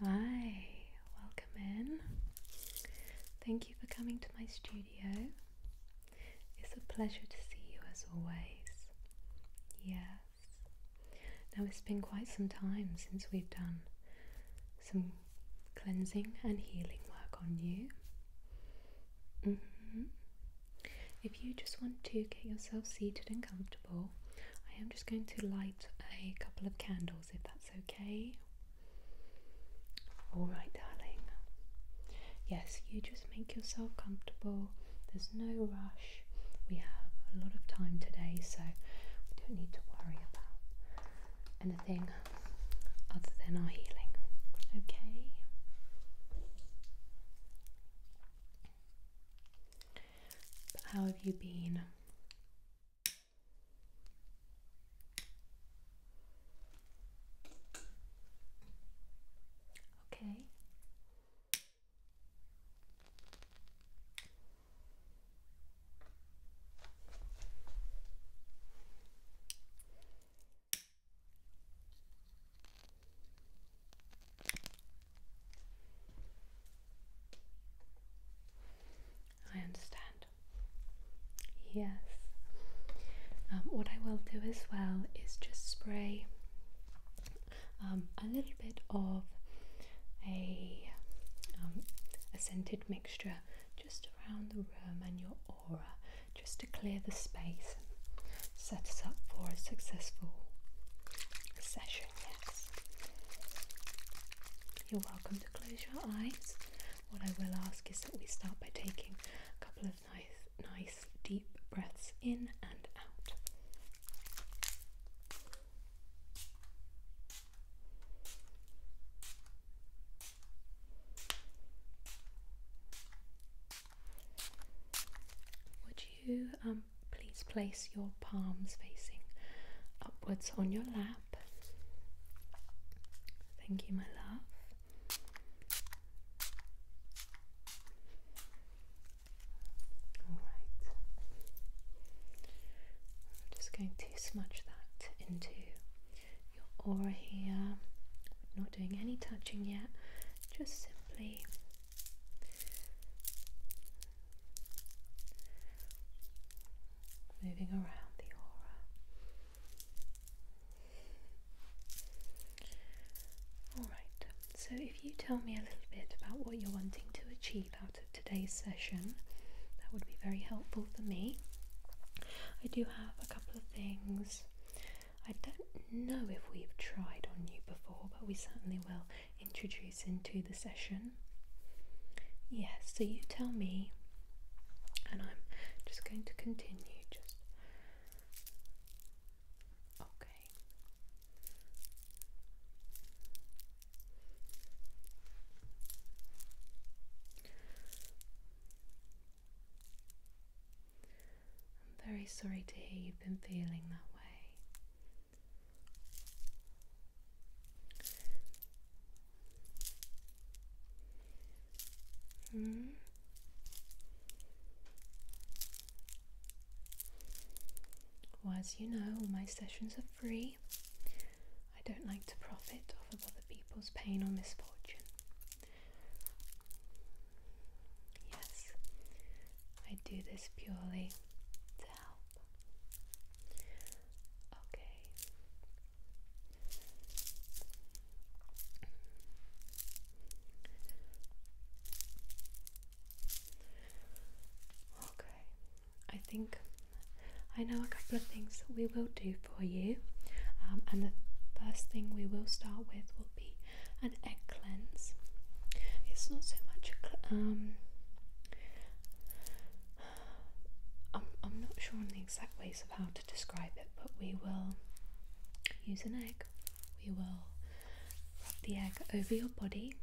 Hi, welcome in. Thank you for coming to my studio. It's a pleasure to see you as always. Yes. Now it's been quite some time since we've done some cleansing and healing work on you. Mm-hmm. If you just want to get yourself seated and comfortable, I am just going to light a couple of candles if that's okay. Alright, darling. Yes, you just make yourself comfortable. There's no rush. We have a lot of time today, so we don't need to worry about anything other than our healing. Okay? how have you been? Okay. I understand. Yes. Um, what I will do as well is just spray um, a little bit of um, a scented mixture just around the room and your aura just to clear the space and set us up for a successful session. Yes. You're welcome to close your eyes. What I will ask is that we start by taking a couple of nice, nice deep breaths in and out. Would you um, please place your palms facing upwards on your lap. Thank you, my love. All right. I'm just going to smudge that into your aura here. not doing any touching yet, just simply moving around the aura. Alright, so if you tell me a little bit about what you're wanting to achieve out of today's session, that would be very helpful for me. I do have a couple of things. I don't know if we've tried on you before, but we certainly will introduce into the session. Yes, so you tell me, and I'm just going to continue. Just okay. I'm very sorry to hear you've been feeling that way. Hmm. as you know, all my sessions are free. I don't like to profit off of other people's pain or misfortune. Yes, I do this purely to help. Okay. Okay. I think I know a couple of things that we will do for you, um, and the first thing we will start with will be an egg cleanse. It's not so much I'm, not sure on the exact ways of how to describe it, but we will use an egg. We will rub the egg over your body.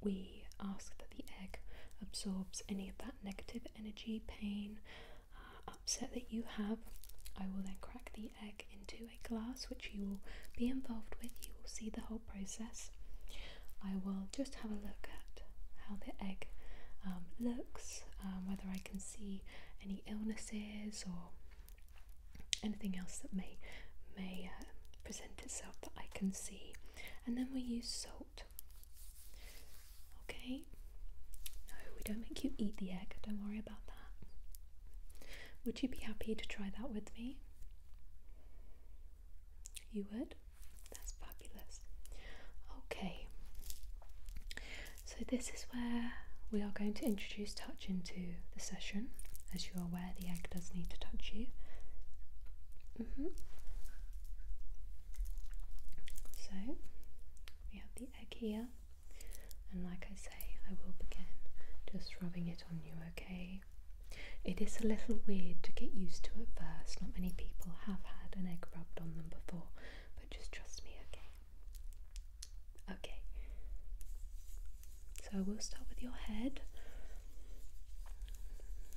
We ask that the egg absorbs any of that negative energy, pain, uh, upset that you have. I will then crack the egg into a glass, which you will be involved with. You will see the whole process. I will just have a look at how the egg um, looks, um, whether I can see any illnesses or anything else that may may uh, present itself that I can see, and then we use salt. Okay. No, we don't make you eat the egg. Don't worry about that. Would you be happy to try that with me? You would. That's fabulous. Okay, so this is where we are going to introduce touch into the session. As you're aware, the egg does need to touch you. Mm -hmm. So we have the egg here, and like I say, I will begin just rubbing it on you, okay? It is a little weird to get used to at first, not many people have had an egg rubbed on them before, but just trust me, okay? Okay. So we'll start with your head.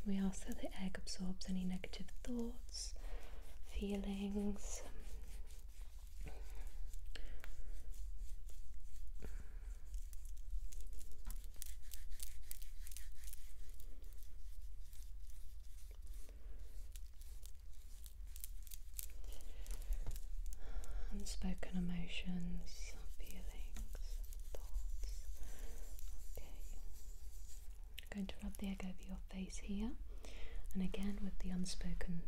We ask that the egg absorbs any negative thoughts, feelings. Unspoken emotions, feelings, thoughts. Okay. I'm going to rub the egg over your face here, and again with the unspoken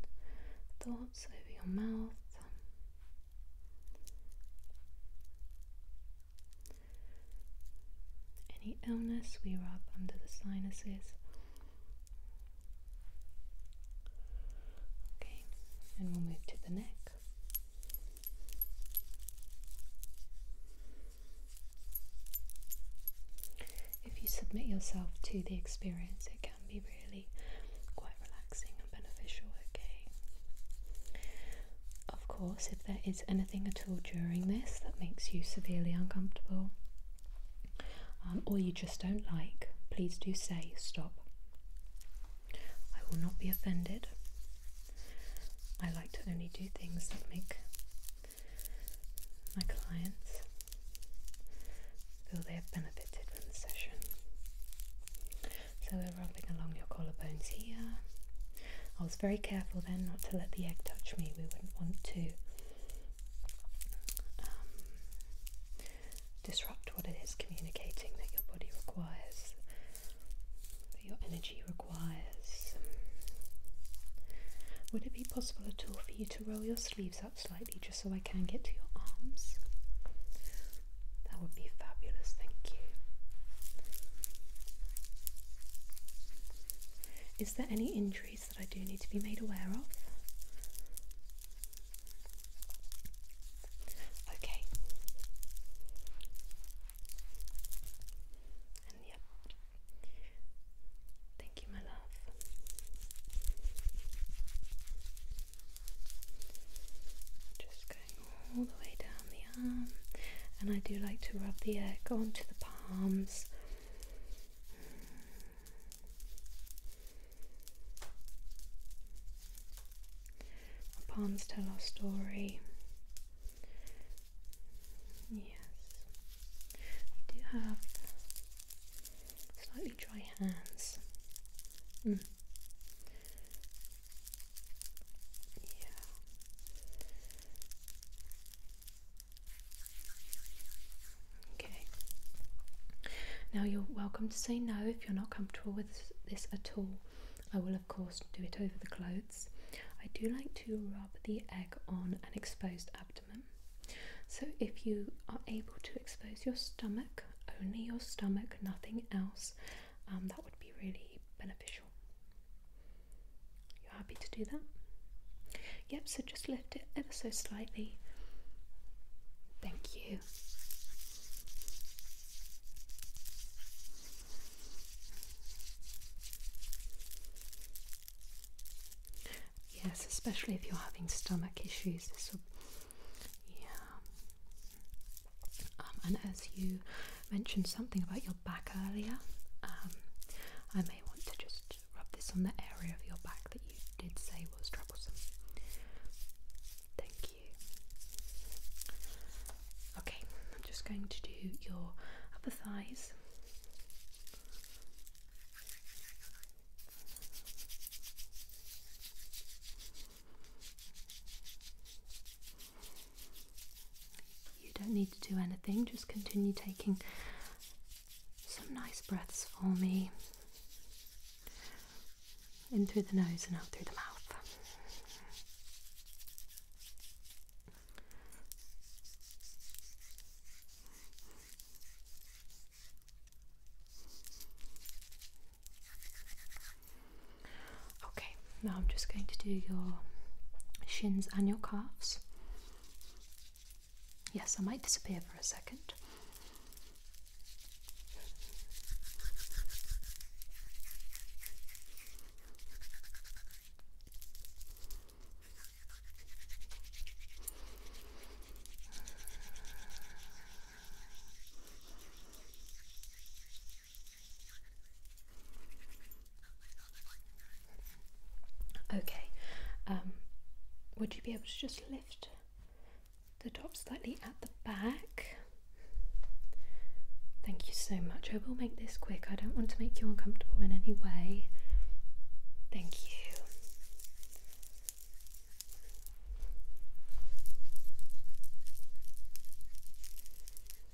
thoughts over your mouth. Any illness we rub under the sinuses. Okay, and we'll move to the neck. If you submit yourself to the experience, it can be really quite relaxing beneficial, okay? Of course, if there is anything at all during this that makes you severely uncomfortable um, or you just don't like, please do say stop. I will not be offended. I like to only do things that make my clients feel they have benefited from the session. So we're rubbing along your collarbones here. I was very careful then not to let the egg touch me. We wouldn't want to um, disrupt what it is communicating that your body requires, that your energy requires. Would it be possible at all for you to roll your sleeves up slightly just so I can get to your arms? That would be fabulous, thank you. Is there any injuries that I do need to be made aware of? Okay. And yep. Thank you, my love. Just going all the way down the um, and I do like to rub the egg onto the palms. palms tell our story. Yes, I do have slightly dry hands. Mm. Yeah. Okay. Now you're welcome to say no if you're not comfortable with this at all. I will, of course, do it over the clothes. I do like to rub the egg on an exposed abdomen. So if you are able to expose your stomach, only your stomach, nothing else, um, that would be really beneficial. You're happy to do that? Yep, so just lift it ever so slightly. Thank you. Yes, especially if you're having stomach issues, yeah. Um, and as you mentioned something about your back earlier, um, I may want to just rub this on the area of your back that you did say was troublesome. Thank you. Okay, I'm just going to do your upper thighs. You don't need to do anything, just continue taking some nice breaths for me. In through the nose and out through the mouth. Okay, now I'm just going to do your shins and your calves. Yes, I might disappear for a second. Okay, um, would you be able to just lift the top slightly at the back? Thank you so much. I will make this quick. I don't want to make you uncomfortable in any way. Thank you.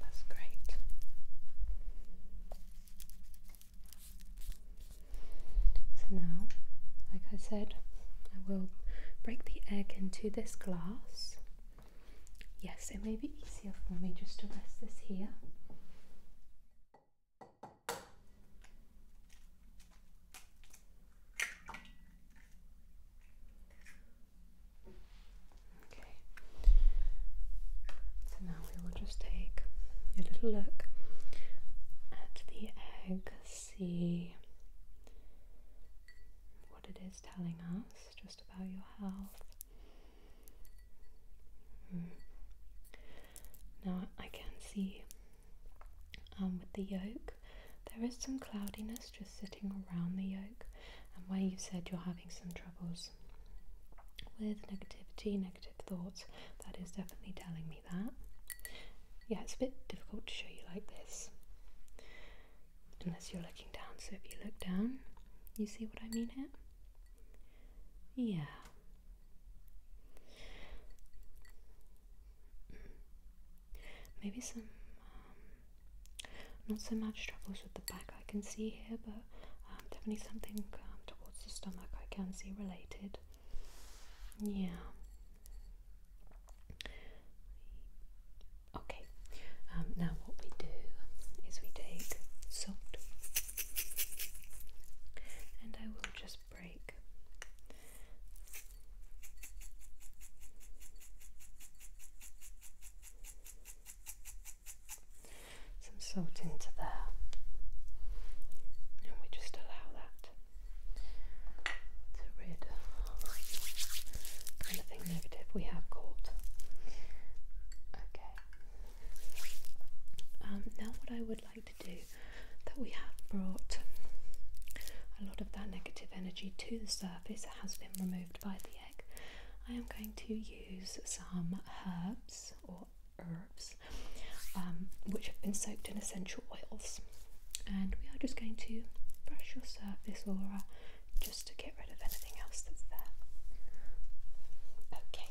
That's great. So now, like I said, I will break the egg into this glass. Yes, it may be easier for me just to rest this here. Okay. So now we will just take a little look at the egg, see what it is telling us just about your health. Hmm. Now I can see um, with the yolk, there is some cloudiness just sitting around the yolk, and where you said you're having some troubles with negativity, negative thoughts, that is definitely telling me that. Yeah, it's a bit difficult to show you like this unless you're looking down. So if you look down, you see what I mean here? Yeah. Maybe some um, not so much troubles with the back I can see here, but um, definitely something um, towards the stomach I can see related. Yeah. Okay, um, now what we do is we take salt and I will just break some salt into there, and we just allow that to rid anything negative we have caught. Okay. Um, now, what I would like to do that we have brought a lot of that negative energy to the surface, has been removed by the egg. I am going to use some herbs or herbs um, which have been soaked in essential oils and we are just going to brush your surface aura just to get rid of anything else that's there. Okay.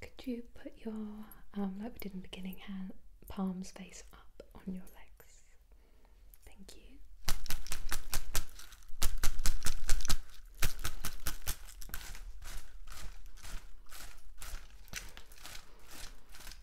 Could you put your, um, like we did in beginning, hands, palms face up on your legs? Thank you.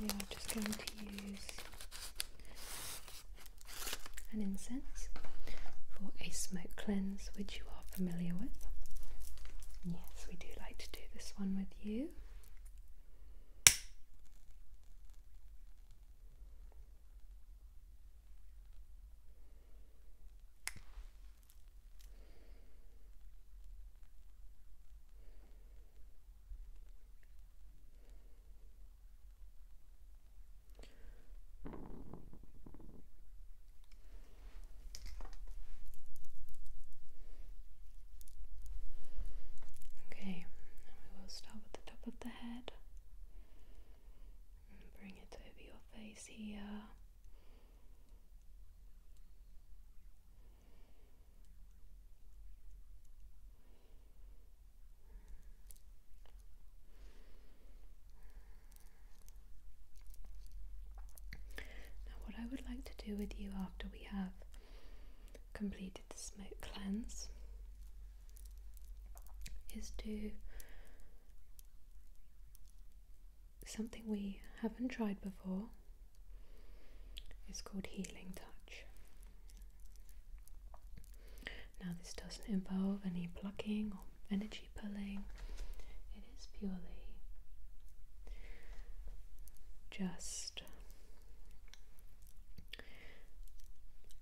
Then we I'm just going to use an incense for a smoke cleanse, which you are familiar with. Yes, we do like to do this one with you. Okay, we will start at the top of the head and bring it over your face here. Now, what I would like to do with you after we have completed the smoke cleanse is do something we haven't tried before it's called Healing Touch. Now, this doesn't involve any plucking or energy pulling, it is purely just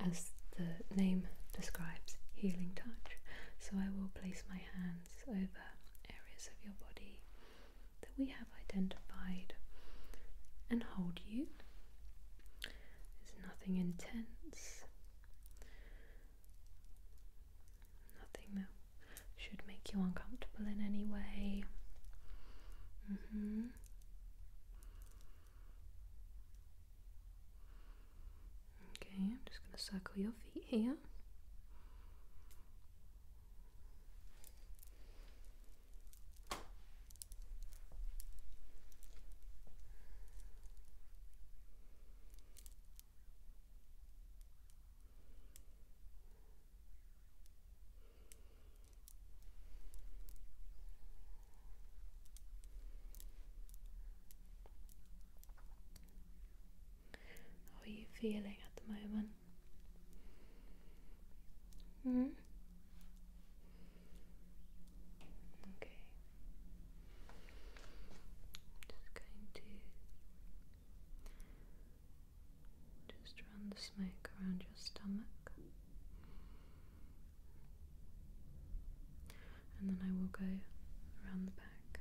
as the name describes healing touch. So, I will place my hands over areas of your body that we have identified and hold you. There's nothing intense, nothing that should make you uncomfortable in any way. Mm -hmm. Okay, I'm just going to circle your feet here. How are you feeling at the moment? Hmm? Okay. just going to just run the smoke around your stomach. And then I will go around the back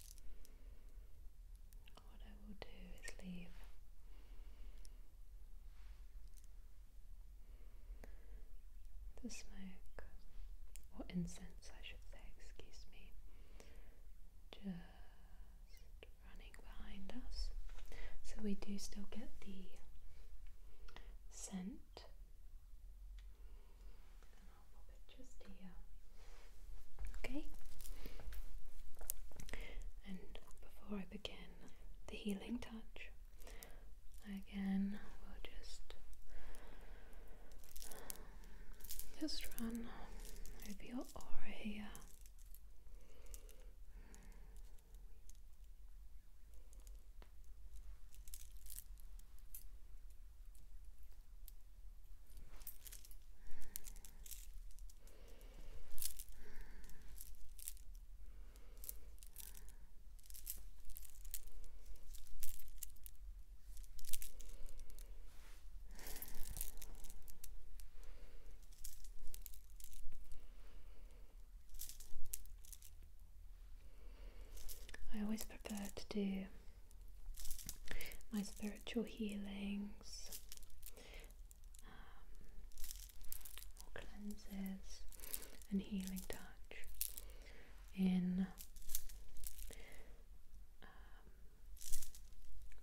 What I will do is leave the smoke or incense, I should say, excuse me, just running behind us. So we do still get the scent just here. Okay? And before I begin the healing touch, again, we'll just um, just run over your aura here. I always prefer to do my spiritual healings um, cleanses and healing touch in um,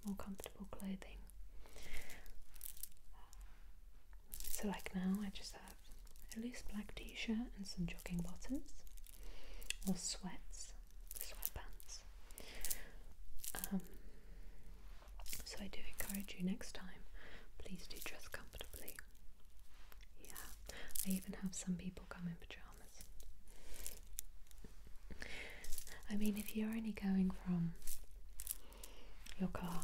more comfortable clothing. So, like now, I just have a loose black t shirt and some jogging bottoms or sweats sweatpants. Um, so I do encourage you next time, please do dress comfortably. Yeah, I even have some people come in pajamas. I mean, if you're only going from your car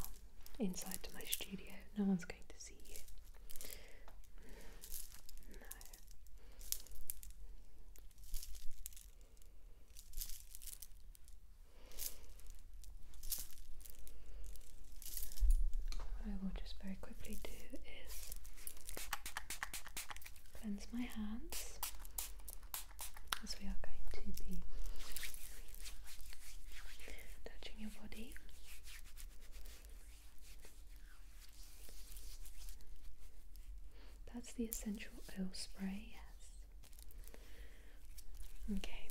inside to my studio, no one's going to see you. What I will just very quickly do is cleanse my hands as we are going to be touching your body that's the essential oil spray, yes. Okay.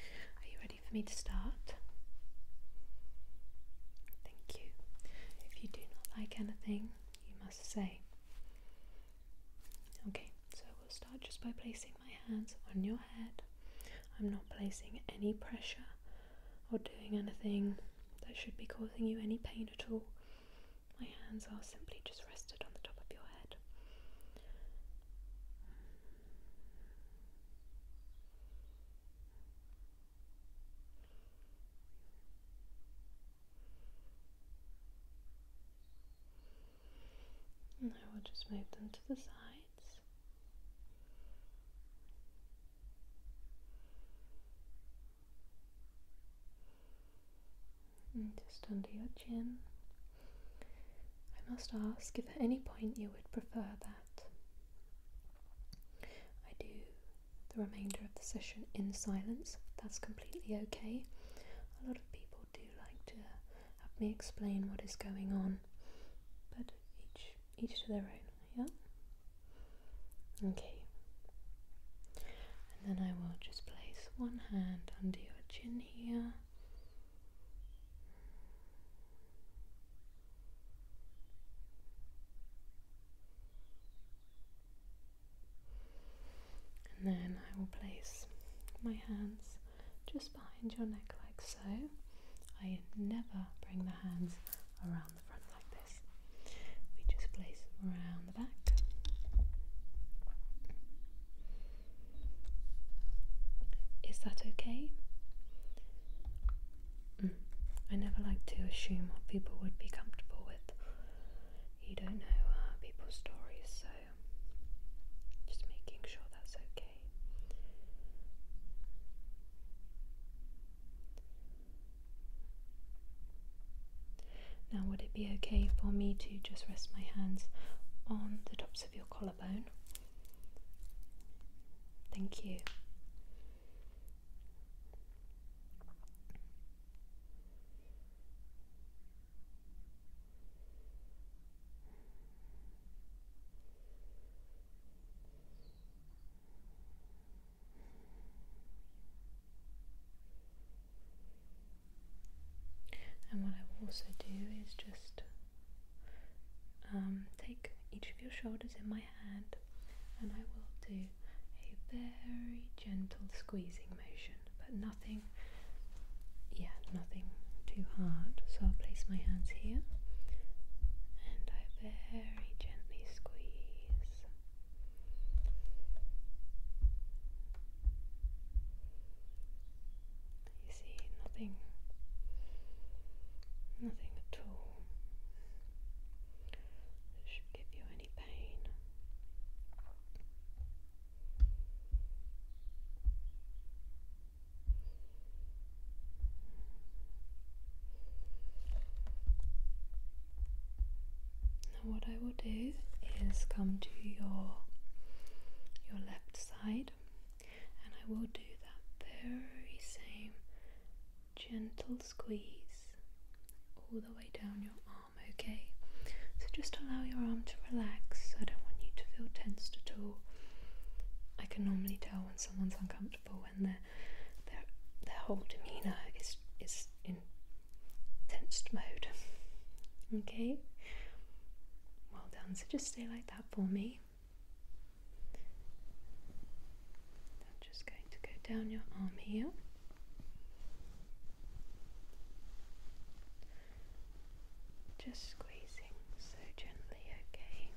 Are you ready for me to start? Thank you. If you do not like anything, you must say. Okay, so we'll start just by placing my hands on your head. I'm not placing any pressure or doing anything that should be causing you any pain at all. My hands are simply just rested on the top of your head. And I will just move them to the sides. Mm, just under your chin. I must ask if at any point you would prefer that I do the remainder of the session in silence. That's completely okay. A lot of people do like to have me explain what is going on, but each each to their own, yeah? Okay. And then I will just place one hand under your chin here. And then I will place my hands just behind your neck like so. I never bring the hands around the front like this. We just place around the back. Is that okay? Mm. I never like to assume what people would be comfortable with. You don't know uh, people's stories, so just making sure that's okay. Now, would it be okay for me to just rest my hands on the tops of your collarbone? Thank you. And what I will also do is just um, take each of your shoulders in my hand and I will do a very gentle squeezing motion, but nothing, yeah, nothing too hard. So I'll place my hands here and I very very gently squeeze. You see, nothing, nothing at all should give you any pain. Now what I will do is come to your your left side and I will do that very same gentle squeeze all the way down your arm, okay? So just allow your arm to relax. I don't want you to feel tensed at all. I can normally tell when someone's uncomfortable when they're their their whole demeanor is is in tensed mode. Okay. Well done. So just stay like that for me. I'm just going to go down your arm here. Just squeezing so gently, okay.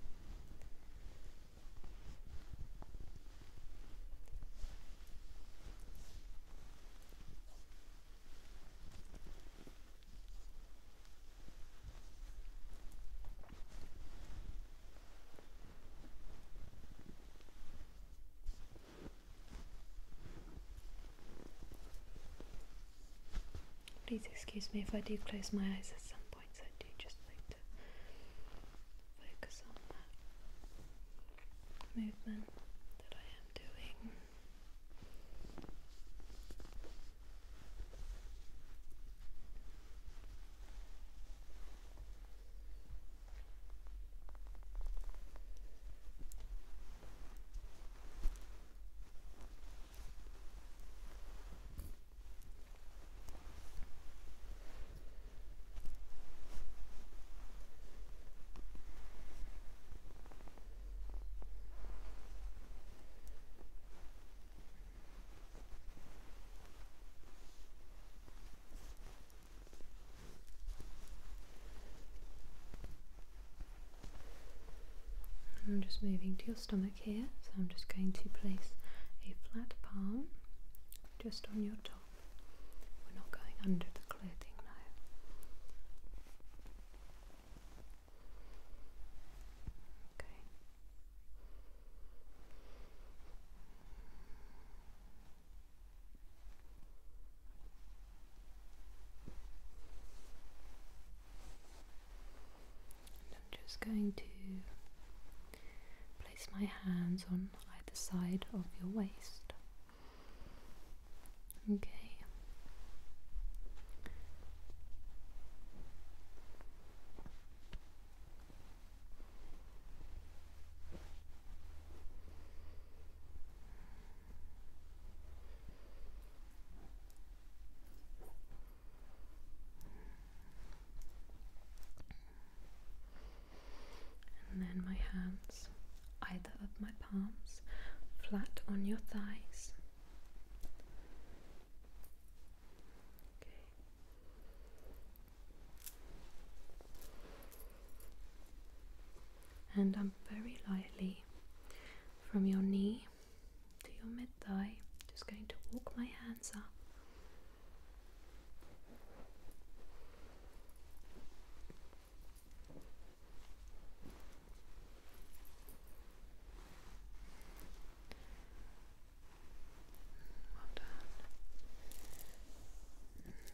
Please excuse me if I do close my eyes at some points, I do just like to focus on that movement that I am doing. I'm just moving to your stomach here, so I'm just going to place a flat palm just on your top. We're not going under the clothing now. Okay. And I'm just going to place my hands on either side of your waist. Okay. And then my hands, either of my palms, flat on your thighs. Okay. And I'm very lightly from your knee to your mid thigh, just going to walk my hands up well done. Mm.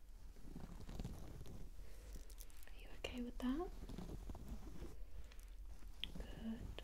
Are you okay with that? Good.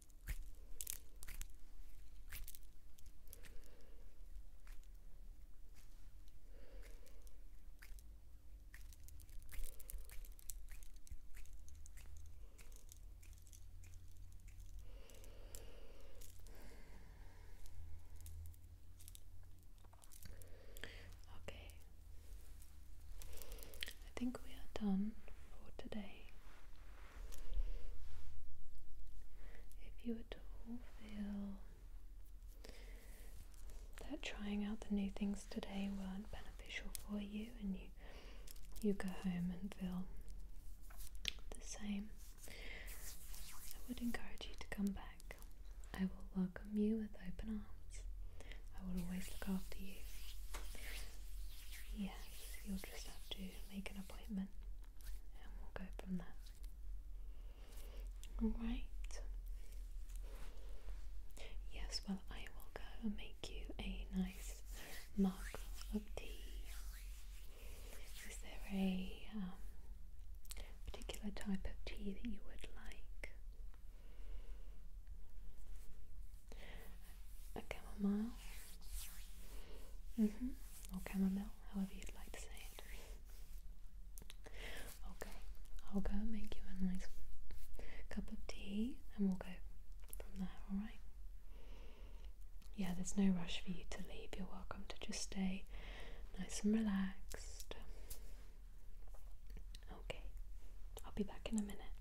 Okay, I think we are done for today. If you at all feel that trying out the new things today weren't beneficial for you and you you go home and feel the same, I would encourage you to come back. I will welcome you with open arms. I will always look after you. Yes, just have to make an appointment and we'll go from there. Alright. Yes, well, I will go and make you a nice mug of tea. Is there a um, particular type of tea that you would like? A chamomile now. Mm -hmm. Or chamomile, however you'd like to say it. Okay, I'll go make you a nice cup of tea and we'll go from there, alright? Yeah, there's no rush for you to leave. You're welcome to just stay nice and relaxed. Okay, I'll be back in a minute.